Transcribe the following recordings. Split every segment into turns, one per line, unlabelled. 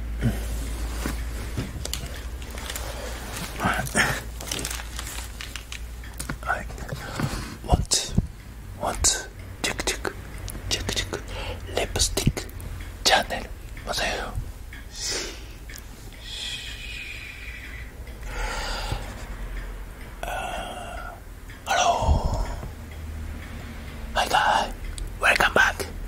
Like, what? What? Tick tick, tick tick, lipstick channel. What the hell? Uh, hello. Hi guys, welcome back.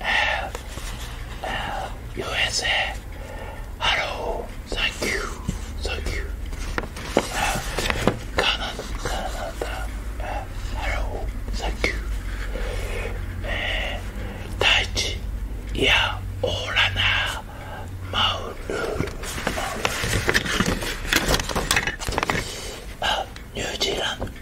and, and USA. Hello, thank you, thank you. Uh, Canada, Canada, uh, hello, thank you. Uh, 大地いやおらなマウルニュージーランド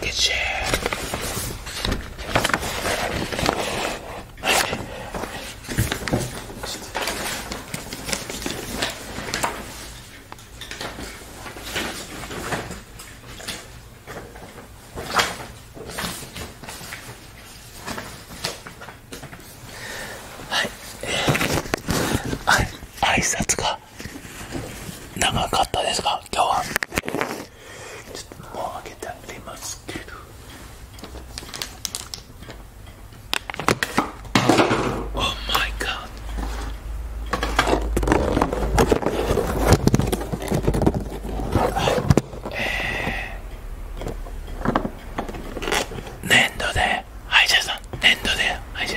けしはい、あい挨拶か。長かったですか今日はちょっともう開けてありますけどオーマイガーえー、粘土で歯医者さん粘土で歯医者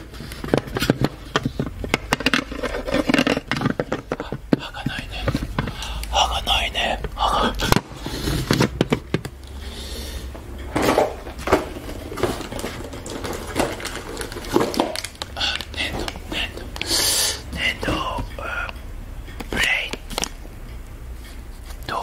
歯がないね歯がないね歯が粘土粘土粘土ブレイドどう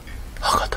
田博多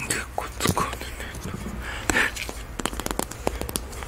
猫つかんでね。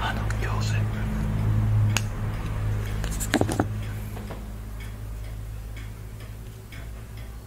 あの行水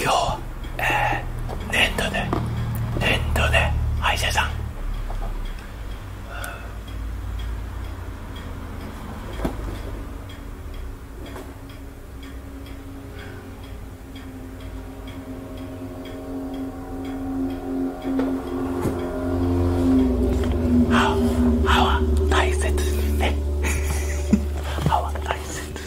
今日、ええ、年度で年度で歯医者さん、うん、歯は大切にね歯は大切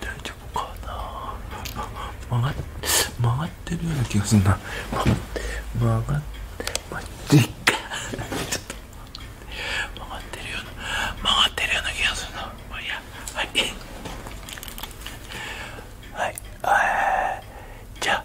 大丈夫かな曲がっ曲がってるような気がするな曲がって曲がっちょっと曲がってるような曲がってるような気がするなまあいやはいはい、えー、じゃあ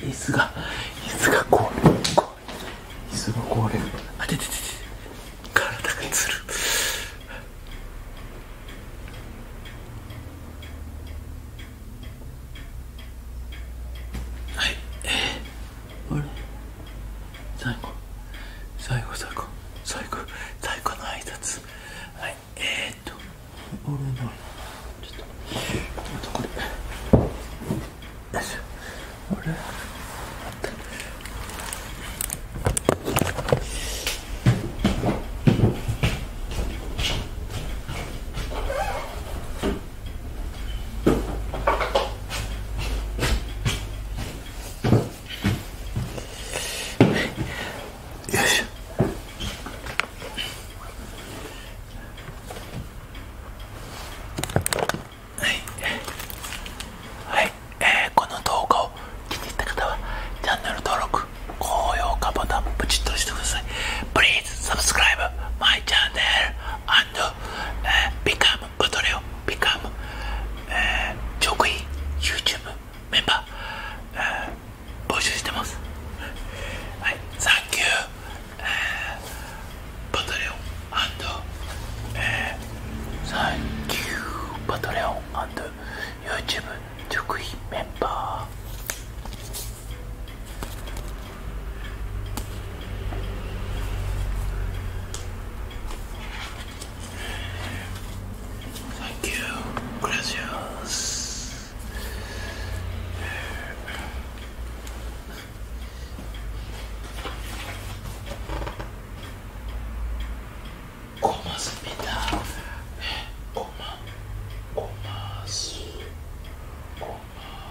椅子が椅子が壊れる椅子が壊れるあてててて体がつるはいえあれ最後最後最後最後最後の挨拶はいえー、っと俺のちょっとこれよいしょあれははい。この動画を気に入った方チチャンンネル登録、高評価ボタプとしてください。please subscribe my channel and uh, become Patreon, become uh, Jokoy YouTube member. Uh, 募集してます。はい、Thank you, Patreon and Thank you, Patreon uh, and uh, YouTube Jokoy member. Thank you. Gracias. Comas Coma. Comas. Coma.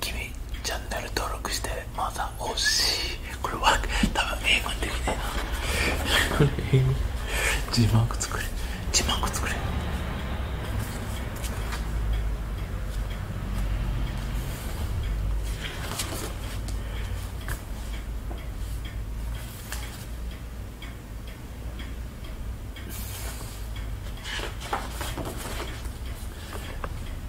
君チャンネル登録してまだ欲しいこれは多分英語できない。なこれ英語字幕作れ字幕作れ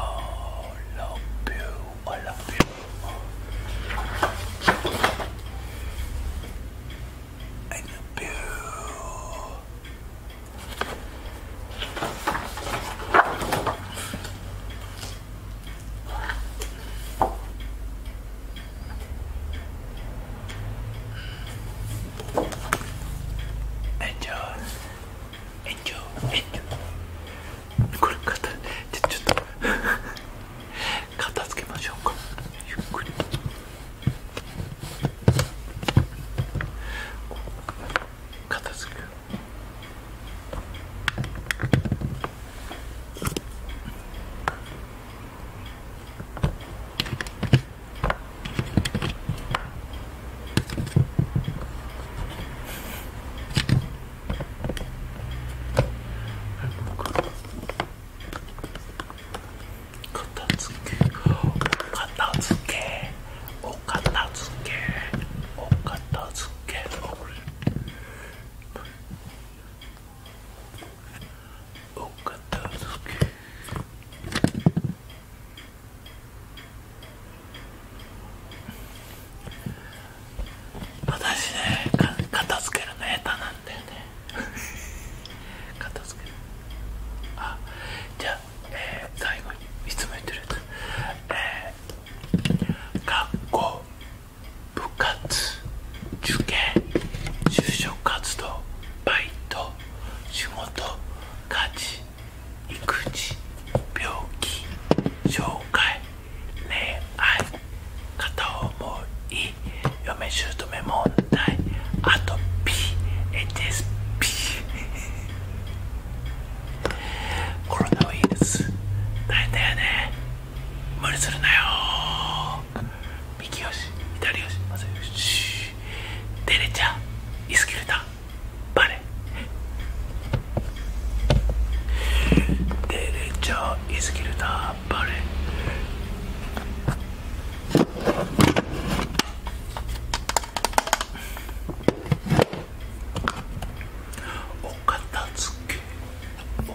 Oh, love you. I love you. I love you. エンジョーエンジョーエンジョーこれ片手ちょっと 片付けましょうかゆっくり片付け片付けお片付け私ね片付けるの下手なんだよね 片付けるあじゃあ、えー、最後にいつも言ってるやつ、えー、学校部活受験就職活動バイト仕事家事育児病気紹介、恋愛片思い嫁姑問題あと PHSP コロナウイルス大変だよね無理するなよ右よし、左足まずよし。デレチャイスキュルタバレデレチャイスキルタバレおか片付け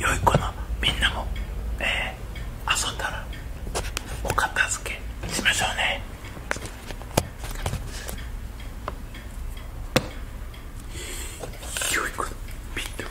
良い子のみんなも、えー、遊んだらお片付けしましょうね良い子みんな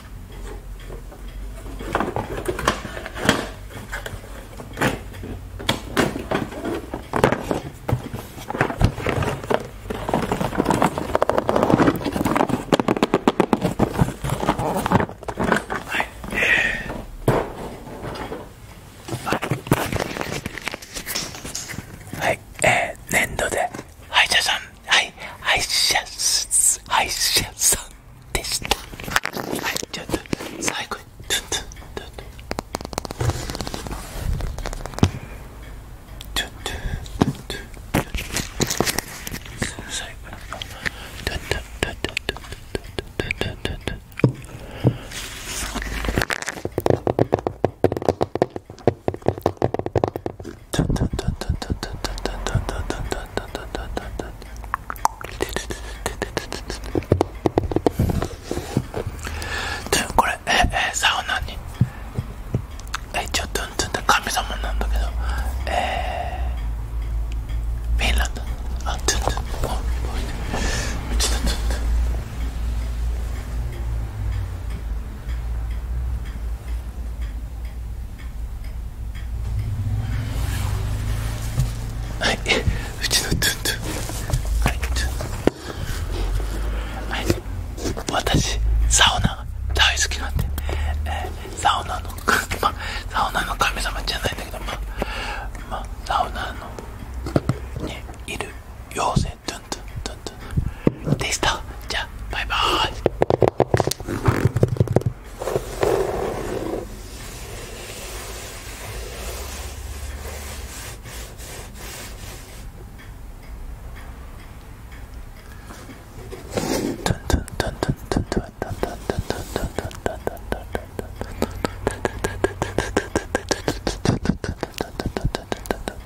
はい、え粘土で歯医者さん I I just I just this I just cycle. これえサウナに一応トゥントゥンって神様なんだけどえー、フィンランドあトゥントゥンおおいちょっとトゥントゥンはいうちのトゥントゥはいトゥンはい私サウナが大好きなんで、えサウナのまあサウナの神様じゃないんだけどまあサウナのね、いる妖精トゥントゥントゥテイストじゃあバイバーイトントントントントントントントントントントントントントントントン